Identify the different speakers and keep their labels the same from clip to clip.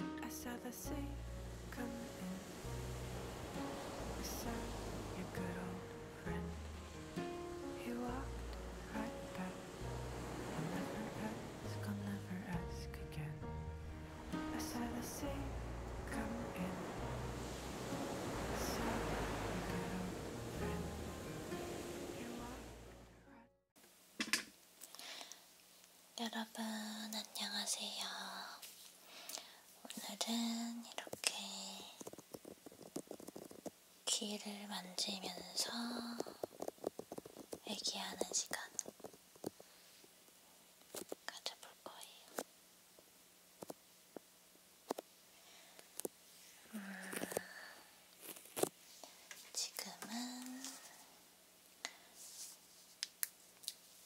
Speaker 1: I saw the sea coming in. I saw your good old friend. He walked right back. I'll never ask, I'll never ask again. I saw the sea come in. I saw your good old friend. He walked. 여러분, 안녕하세요. 오늘은 이렇게 귀를 만지면서 얘기하는 시간 가져볼 거예요. 음, 지금은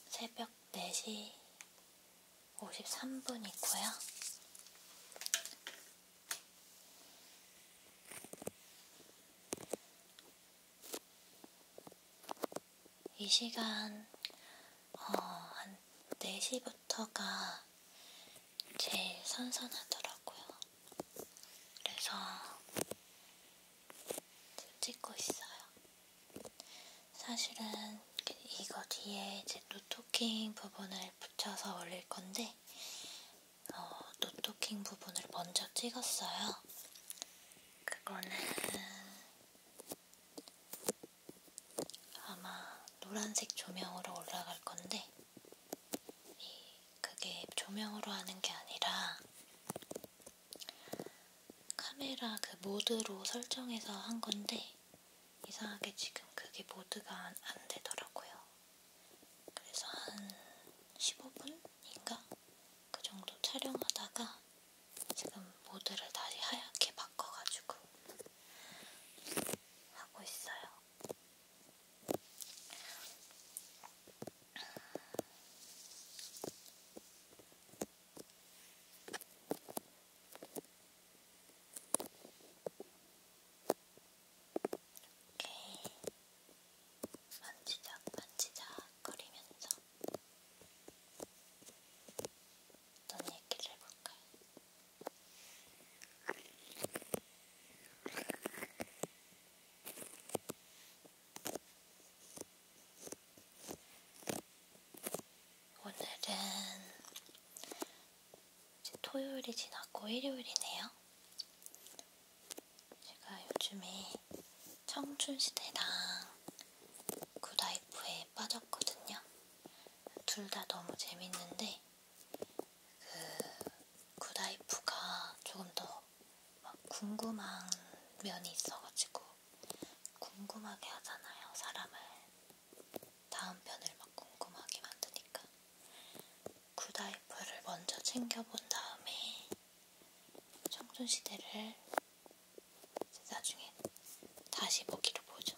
Speaker 1: 새벽 4시 53분이고요. 이 시간 어, 한 4시부터가 제일 선선하더라고요. 그래서 찍고 있어요. 사실은 이거 뒤에 이제 노토킹 부분을 붙여서 올릴 건데 어, 노토킹 부분을 먼저 찍었어요. 그거는 아마 노란색 조명으로 올라갈 건데 그게 조명으로 하는 게 아니라 카메라 그 모드로 설정해서 한 건데 이상하게 지금 그게 모드가 안, 안 되더라고요. 그래서 한 15분인가? 그 정도 촬영하다가 지금 모드를 다시 하얗게 바꿔가지고 하고 있어요. 이렇게 만지작 만지작 거리면서 어떤 얘기를 해볼까요? 오늘은 이제 토요일이 지났고 일요일이네요. 제가 요즘에 청춘시대랑 굿라이프에 빠졌거든요. 둘 다 너무 재밌는데 그 굿라이프가 조금 더막 궁금한 면이 있어가지고 궁금하게 하잖아요. 사람을 다음 편을 막 궁금하게 만드니까 굿아이프를 먼저 챙겨본 다음에 청춘시대를 나중에 다시 보기로 보죠.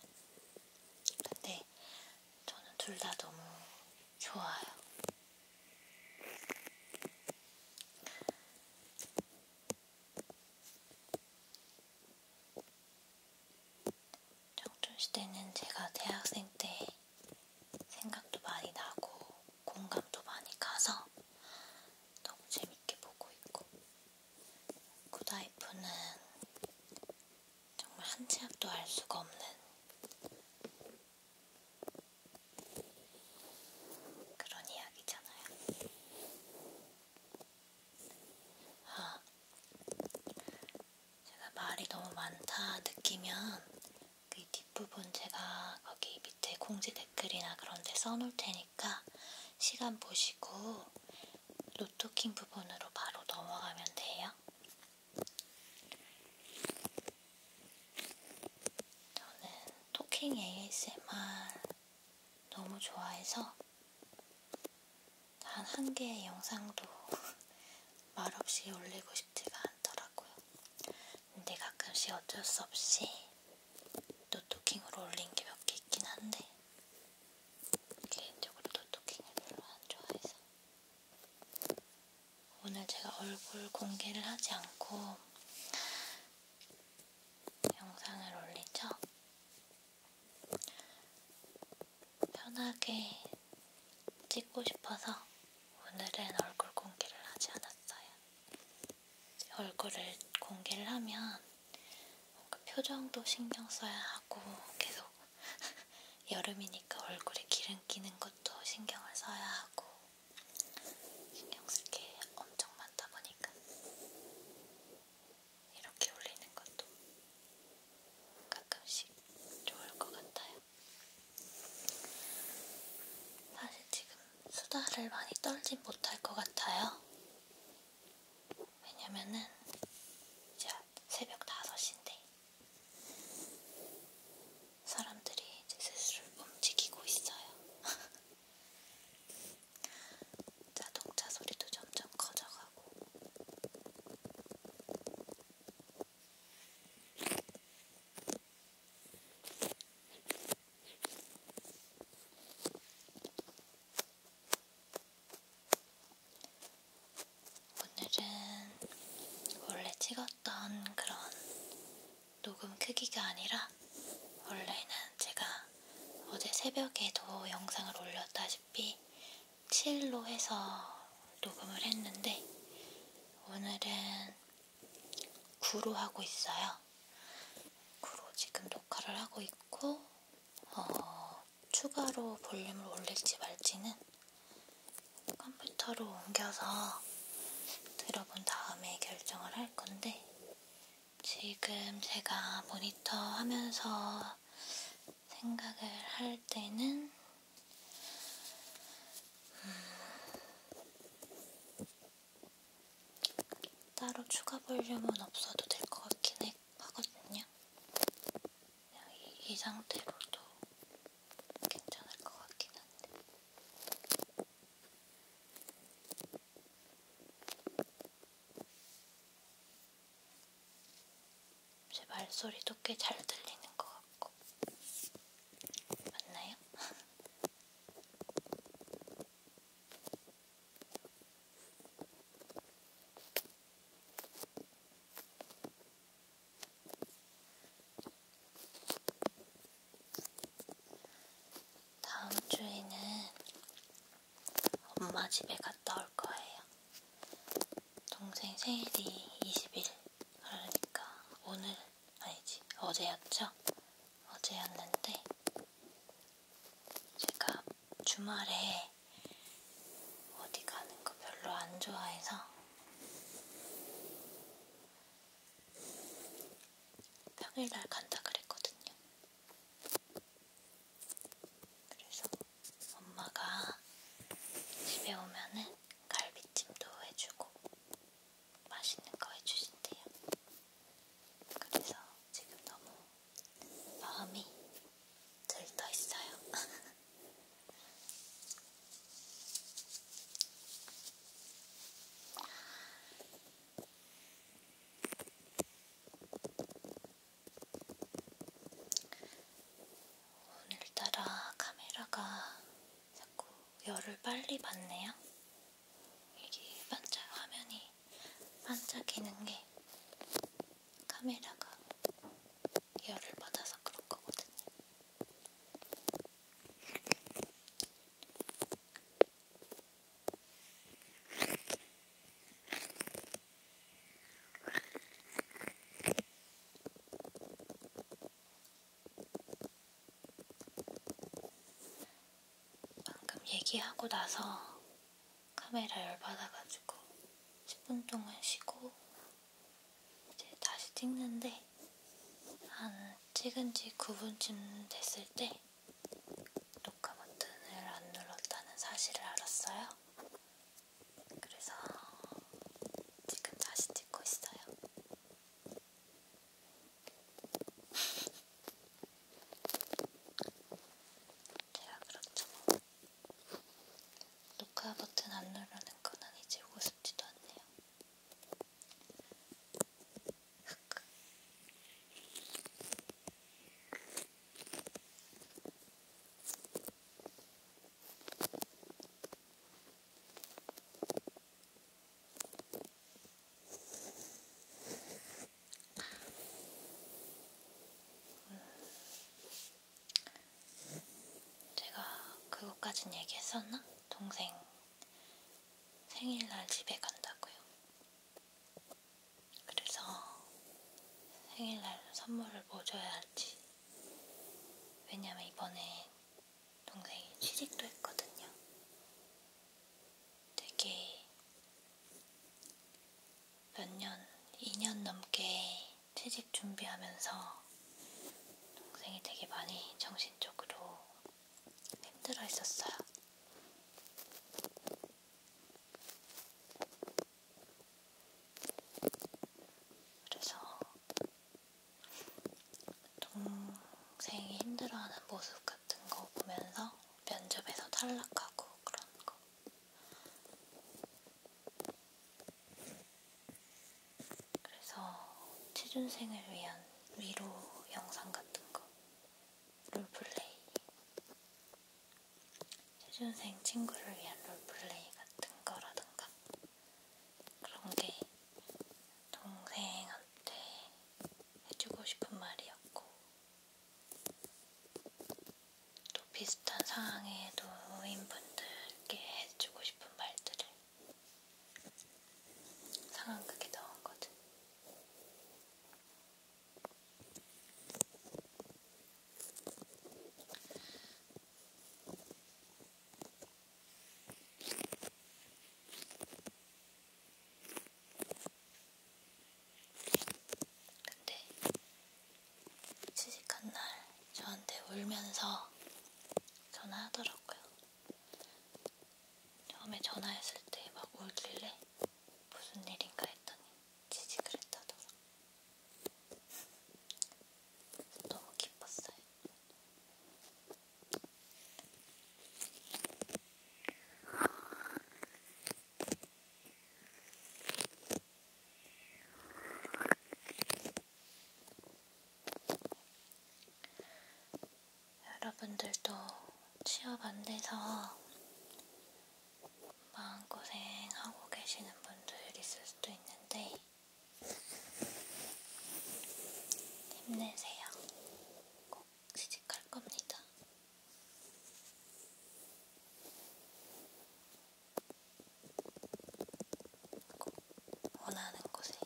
Speaker 1: 근데 저는 둘 다 너무 좋아요. 청춘시대는 제가 대학생 때 생각도 많이 나고 공감도 많이 가서 너무 재밌게 보고 있고 구다이프는 정말 한 치 앞도 알 수가 없는 그런 이야기잖아요. 아, 제가 말이 너무 많다 느끼면 그 뒷부분 제가 거기 밑에 공지 댓글이나 그런 데 써놓을 테니까 시간 보시고 노토킹 부분으로 바로 넘어가면 돼요. 저는 토킹 ASMR 너무 좋아해서 단 한 개의 영상도 말없이 올리고 싶지가 않더라고요. 근데 가끔씩 어쩔 수 없이 노토킹으로 올린 게 몇 개 있긴 한데 개인적으로 노토킹을 별로 안 좋아해서 오늘 제가 얼굴 공개를 하지 않고 영상을 올리죠. 편하게 찍고 싶어서 오늘은 얼굴 공개를 하지 않았어요. 얼굴을 공개를 하면 뭔가 표정도 신경 써야 하고 계속 여름이니까 얼굴에 기름 끼는 것도 신경을 써야 하고 신경 쓸게 엄청 많다 보니까 이렇게 올리는 것도 가끔씩 좋을 것 같아요. 사실 지금 수다를 많이 떨지 못할 것 같아요. 왜냐면은 이제 새벽 5시인데 사람들이 이제 스스로 움직이고 있어요. 자동차 소리도 점점 커져가고 오늘은 원래 찍었던 그런 녹음 크기가 아니라 원래는 제가 어제 새벽에도 영상을 올렸다시피 7로 해서 녹음을 했는데 오늘은 9로 하고 있어요. 9로 지금 녹화를 하고 있고 어, 추가로 볼륨을 올릴지 말지는 컴퓨터로 옮겨서 들어본 다음에 결정을 할 건데 지금 제가 모니터 하면서 생각을 할 때는 음 따로 추가 볼륨은 없어도 될 것 같긴 하거든요. 이, 이 상태로도 괜찮을 것 같긴 한데. 제 말소리도 꽤 잘 들리는 것 같고 맞나요? 다음 주에는 엄마 집에 갔다 올 거예요. 동생 생일이 20일, 그러니까 오늘, 아니지, 어제였죠? 어제였는데, 제가 주말에 어디 가는 거 별로 안 좋아해서, 평일날 간다 그랬거든요. 그래서 엄마가 집에 오면은 갈비찜도 해주고 맛있는 거 해주신대요. 그래서 지금 너무 마음이 들떠 있어요. 오늘따라 카메라가 자꾸 열을 빨리 받네요. 이게 반짝 화면이 반짝이는 게 카메라가 열을 받아서 그런 거거든요. 방금 얘기하고 나서 카메라 열받아가지고 10분 동안 쉬고 이제 다시 찍는데 한 찍은 지 9분쯤 됐을 때 녹화 버튼을 안 눌렀다는 사실을 알았어요. 그래서 지금 다시 찍고 있어요. 제가 그렇죠. 녹화 버튼 안 누르는 건 아니지 오고 싶지도 않네요. 제가 그것까진 얘기했었나? 동생 생일날 집에 간다고요. 그래서 생일날로 선물을 뭐 줘야 할지. 왜냐면 이번에 동생이 취직도 했거든요. 되게 몇 년, 2년 넘게 취직 준비하면서 동생이 되게 많이 정신적으로 힘들어 했었어요. 그래서 동생이 힘들어하는 모습 같은 거 보면서 면접에서 탈락하고 그런 거. 그래서 취준생을 위한 위로 영상 같은 거 롤플레이 초년생 친구를 위한 롤플레이 같은 거라던가 그런 게 동생한테 해주고 싶은 말이었고 또 비슷한 상황에 놓인 분들께 해주고 싶은 말들을 상황극에 넣은 거든. 근데 취직한 날 저한테 울면서 전화하더라고요. 처음에 전화했을 때 막 울길래 무슨 일인가 했더니 지지그랬다더라. 너무 기뻤어요. 여러분들도 취업 안 돼서 마음고생하고 계시는 분들 있을 수도 있는데 힘내세요. 꼭 취직할 겁니다. 꼭 원하는 곳에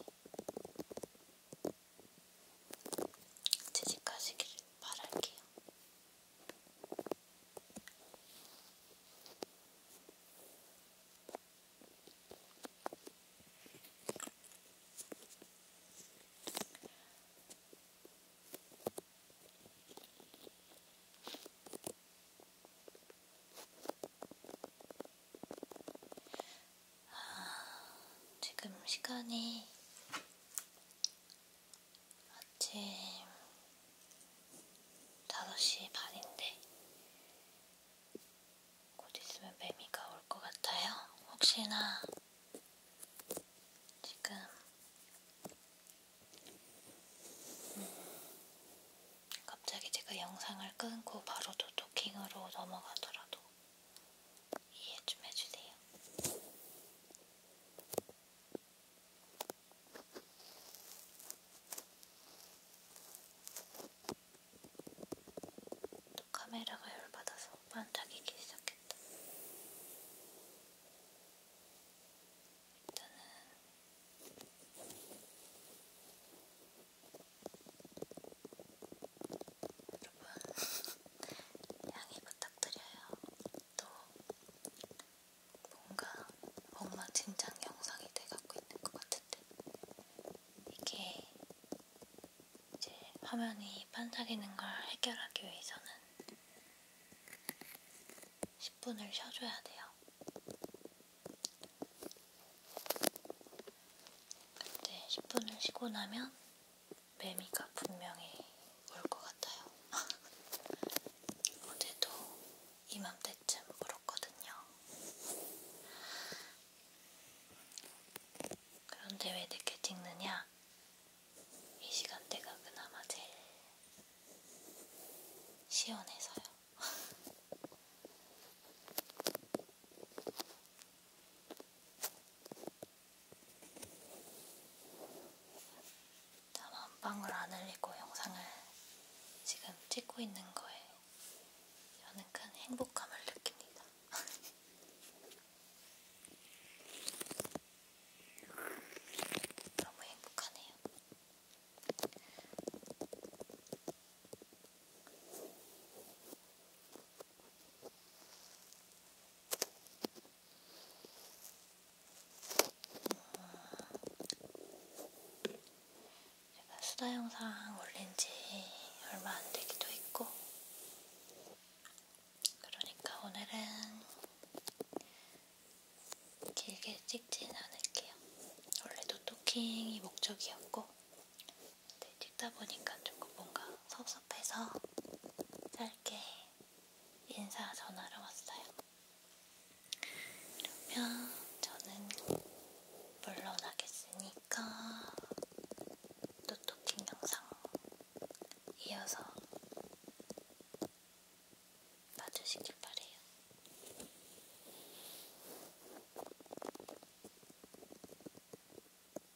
Speaker 1: 취직하시기를 바랄게요. 아, 지금 시간이 아침 5시 반인데 곧 있으면 매미가 올 것 같아요. 혹시나 지금 음 갑자기 제가 영상을 끊고 바로 도토킹으로 넘어가더라도 이해 좀 해주세요. 또 카메라가 열받아서 반짝이기 시작했다. 일단은 여러분 양해 부탁드려요. 또 뭔가 엉망진창 영상이 돼갖고 있는 것 같은데 이게 이제 화면이 반짝이는 걸 해결하기 위해서는 10분을 쉬어줘야 돼요. 근데 10분을 쉬고 나면 매미가 분명히 올 것 같아요. 어제도 이맘때쯤 울었거든요. 그런데 왜 늦게 찍느냐? 이 시간대가 그나마 제일 시원해서요. 땀한 방울 안 흘리고 영상을 지금 찍고 있는 거에 저는 큰 행복감을 느낍니다. 너무 행복하네요. 제가 수다 영상 올린 지 얼마 안 되기도 했고, 그러니까 오늘은 길게 찍진 않을게요. 원래도 토킹이 목적이었고, 근데 찍다 보니까 조금 뭔가 섭섭해서 짧게 인사 전화를 왔어요. 그러면 저는 물러나겠으니까 노토킹 영상 이어서 봐주시길 바래요. 안녕.